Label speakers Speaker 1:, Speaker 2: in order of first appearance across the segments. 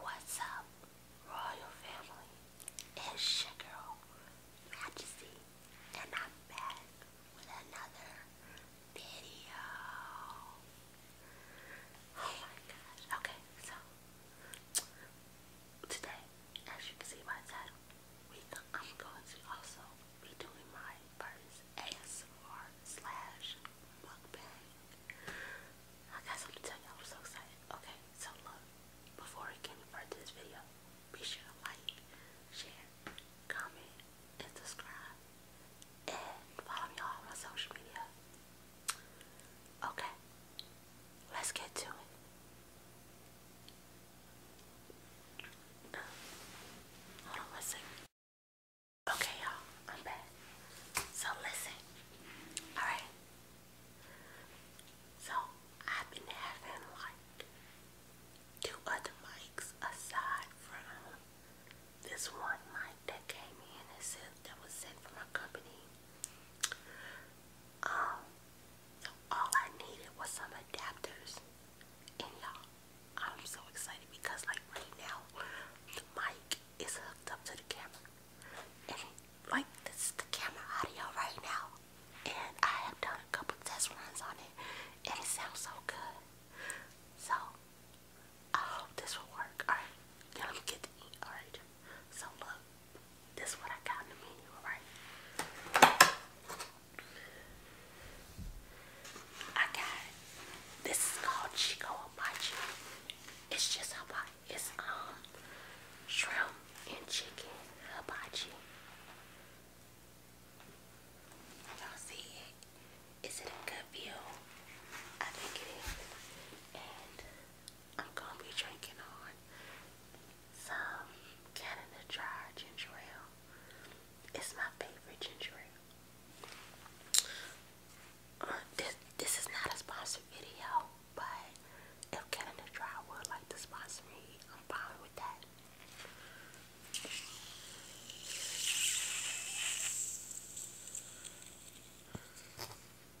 Speaker 1: What's up, royal family? It's your Majesty, and I'm back with another video. Oh my gosh. Okay, so Today, as you can see by the we I'm going to also be doing my first ASMR slash mukbang. I got something to tell y'all. I'm so excited. Okay, so look, before we get further this video, be sure to like, share, comment, and subscribe. And follow me all my social media. Okay, let's get to it. hold on one second. Okay, y'all, I'm back. So, listen. Alright. So, I've been having like two other mics aside from this one mic that came in and said that was sent from our company. Um, all I needed was some adapters. And y'all, I'm so excited because like right now, the mic is hooked up to the camera. And like this is the camera audio right now. And I have done a couple test runs on it. And it sounds so good. So I hope this will work. Alright. let me get to Alright. So look, this is what I got in the menu, alright? I got this is called Chico Hibachi. It's just hibachi. It's um shrimp and chicken hibachi. Y'all see it? Is it a good view? I think it is. I'm gonna be drinking on some Canada Dry ginger ale. It's my favorite ginger ale. Uh, this this is not a sponsored video, but if Canada Dry would like to sponsor me, I'm fine with that.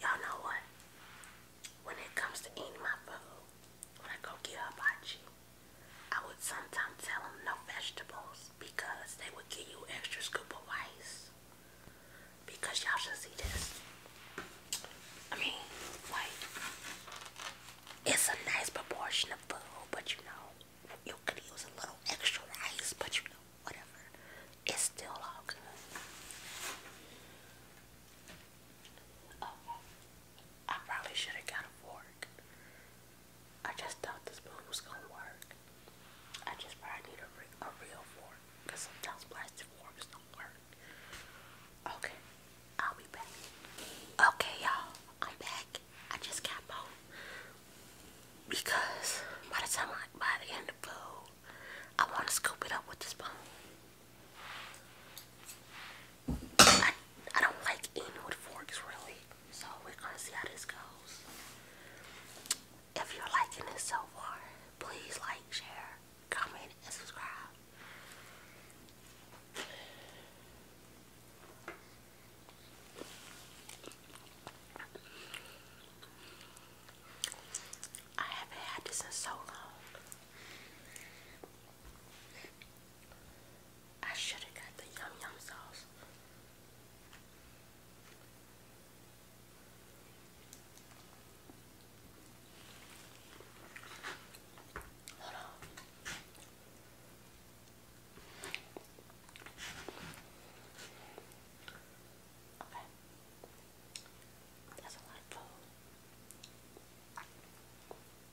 Speaker 1: Y'all know what? When it comes to eating my food, when I go get hibachi, I would sometimes tell them no vegetables because they would give you extra scoop of rice. Because y'all should see this. I mean, like, it's a nice proportion of food, but you know, you could use a little extra rice, but you know, whatever. It's still all good. Okay. Oh, I probably should have got a fork. I just thought the spoon was gonna work. I just probably need a, re a real fork because sometimes plastic forks don't work. Okay, I'll be back. Okay, y'all, I'm back. I just got home because by the time I, by the end of the food, I want to scoop it up with the spoon. I, I don't like eating with forks really, so we're gonna see how this goes. If you're liking this so far, please like, share, comment, and subscribe. I haven't had this in so long. I should have got the yum yum sauce. Hold Okay. That's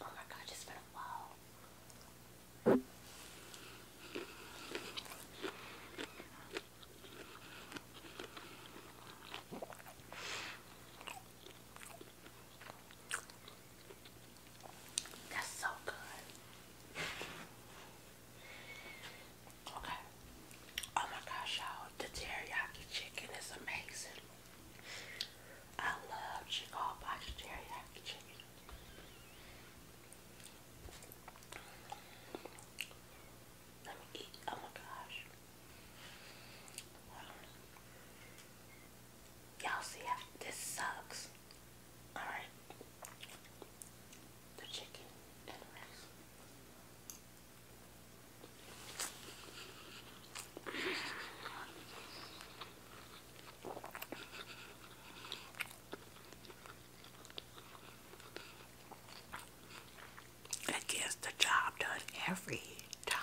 Speaker 1: Oh my god, it's been a while. That's so good. Okay. Oh my gosh, y'all. The teriyaki chicken is amazing. I love chicken teriyaki chicken. Let me eat. Oh my gosh. Y'all see how this sucks. Alright. The chicken and rice. It gets the job done every time.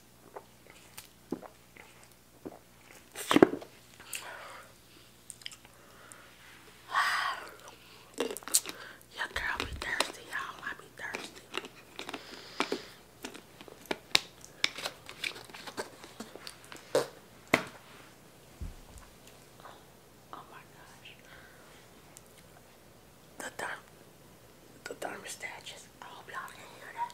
Speaker 1: Yeah, girl, be thirsty, y'all. I be thirsty. Oh my gosh. The, th the thermostat just, I oh, hope y'all can hear that.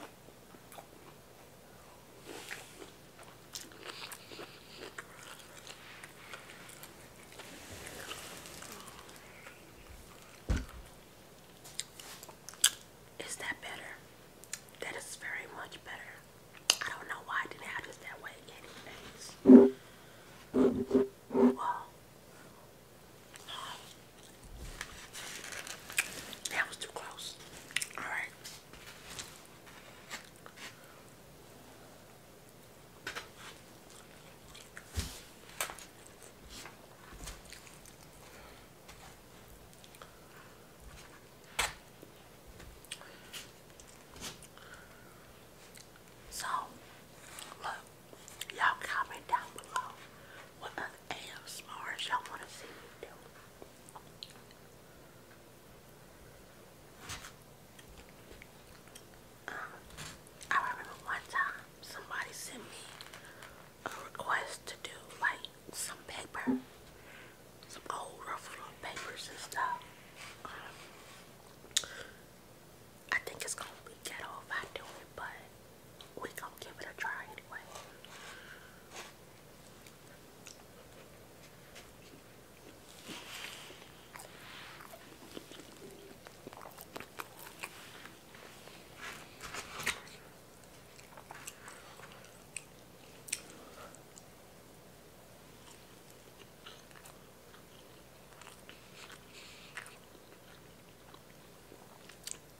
Speaker 1: -hmm. Is that better? That is very much better. I don't know why I did that way anyways. Um, that was too close. Alright. So, look, y'all comment down below what other ASMRs y'all want to see me do. Um, I remember one time somebody sent me a request to do like some paper, some old ruffled papers and stuff. Um, I think it's gonna be ghetto if I do it, but we gonna give it a try anyway.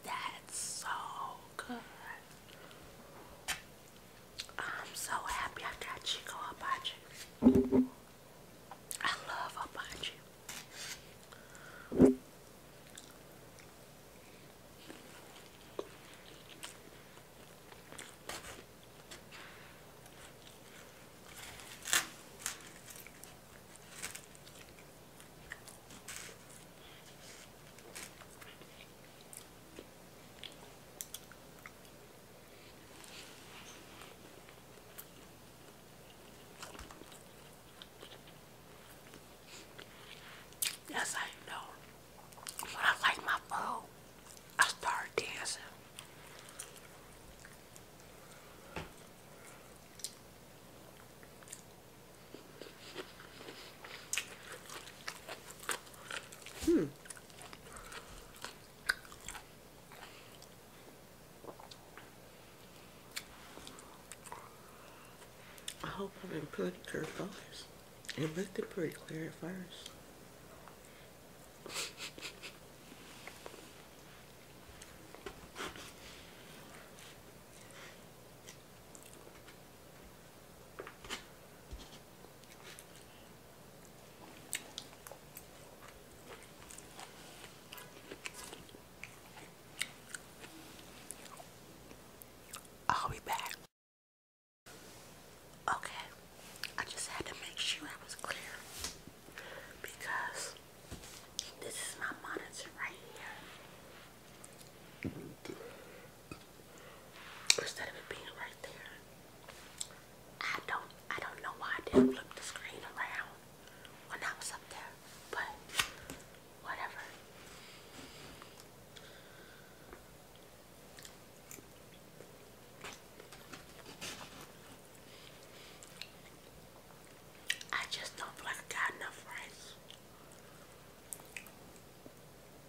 Speaker 1: That's so good. I'm so happy I got Chico Abachi. I love Abachi. Yes, I know. When I like my food, I start dancing. Hmm. I hope i am been pretty clear fires. It looked pretty clear at first. I'll be back. Okay, I just had to make sure I was clear because this is my monitor right here instead of it being right there. I don't I don't know why I didn't flip the screen around when I was up there, but whatever. I just don't like I enough rice.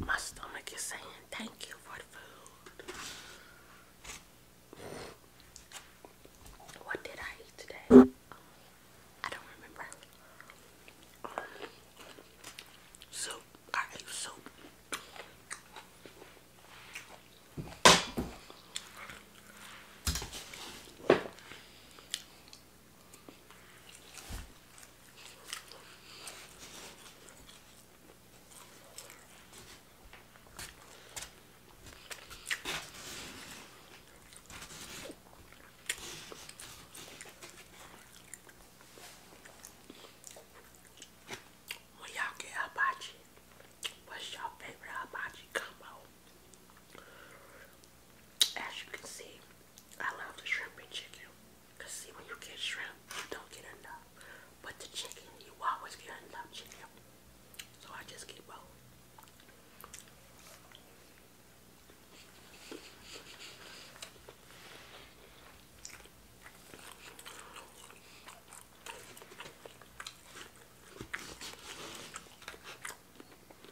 Speaker 1: My stomach is saying thank you for the food. What did I eat today? I don't remember. Um, soup. I ate soup. When y'all get hibachi, what's your favorite hibachi combo? As you can see, I love the shrimp and chicken. Cause see when you get shrimp, you don't get enough. But the chicken, you always get enough chicken. So I just keep both.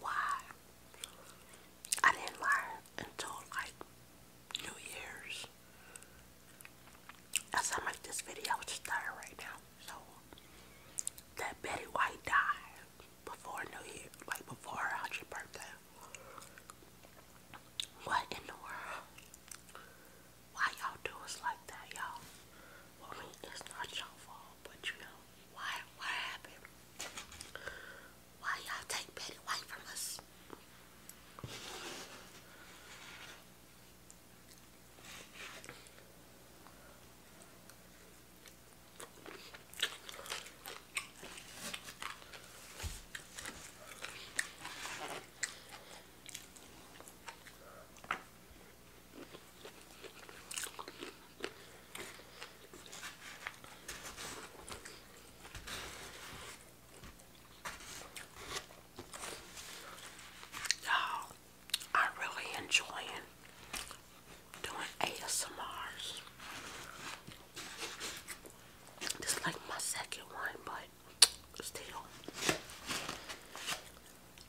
Speaker 1: why? I didn't learn until like New Year's. As I make this video, it's right now. So that Betty White died before New Year, like before her hundredth birthday. What in the world? Why y'all do us like that, y'all? I mean, it's not your fault but you know, why why happened? Why y'all take Betty White from us? you I'm really enjoying doing ASMRs. This is like my second one, but still.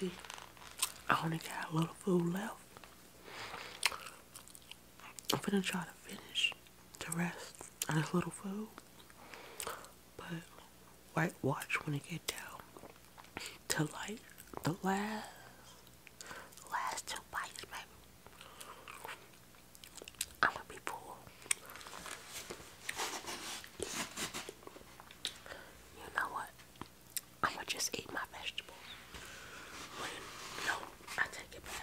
Speaker 1: you I only got a little food left. I'm gonna try to finish the rest of this little food. But white watch when it get down to like the last last two bites, baby. I'm gonna be poor. You know what? I'm gonna just eat my vegetables. no, I take it back.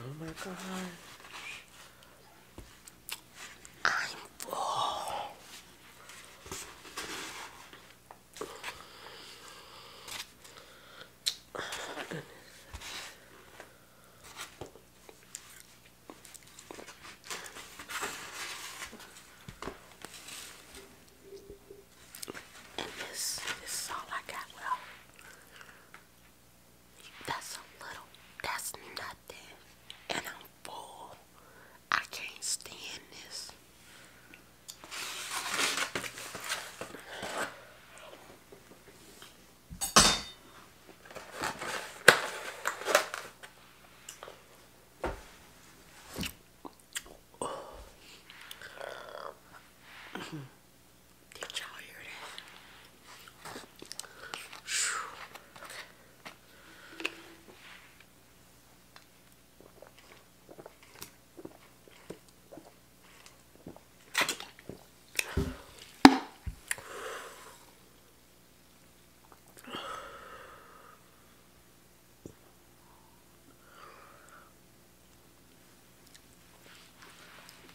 Speaker 1: Oh my God, I'm full. goodness. this is all I got. Well, that's a little, that's nothing. And I'm full. I can't stand this. Did y'all hear that? Whew.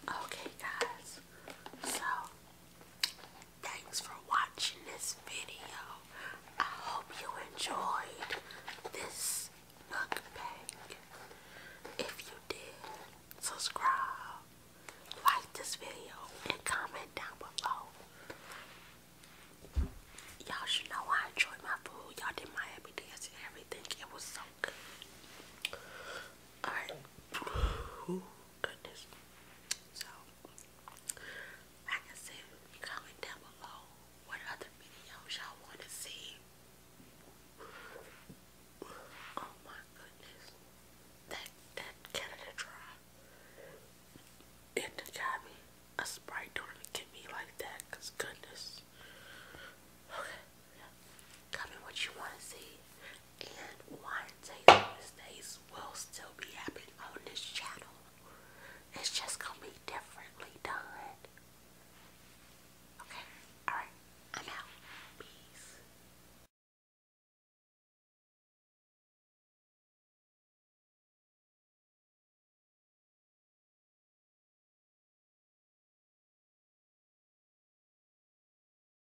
Speaker 1: Okay, guys, so Thanks for watching this video. I hope you enjoyed this mukbang. If you did, subscribe, like this video, and comment down below. Y'all should know I enjoyed my food. Y'all did my happy everything. It was so good. Alright goodness. So, like I said, comment down below what other videos y'all want to see. Oh my goodness. That, that Canada Dry. It got me. A Sprite don't get me like that, goodness. Okay, yeah. Comment what you want to see and one wine days will still be happening on this channel. It's just gonna be differently done. Okay, alright, I'm out. Peace.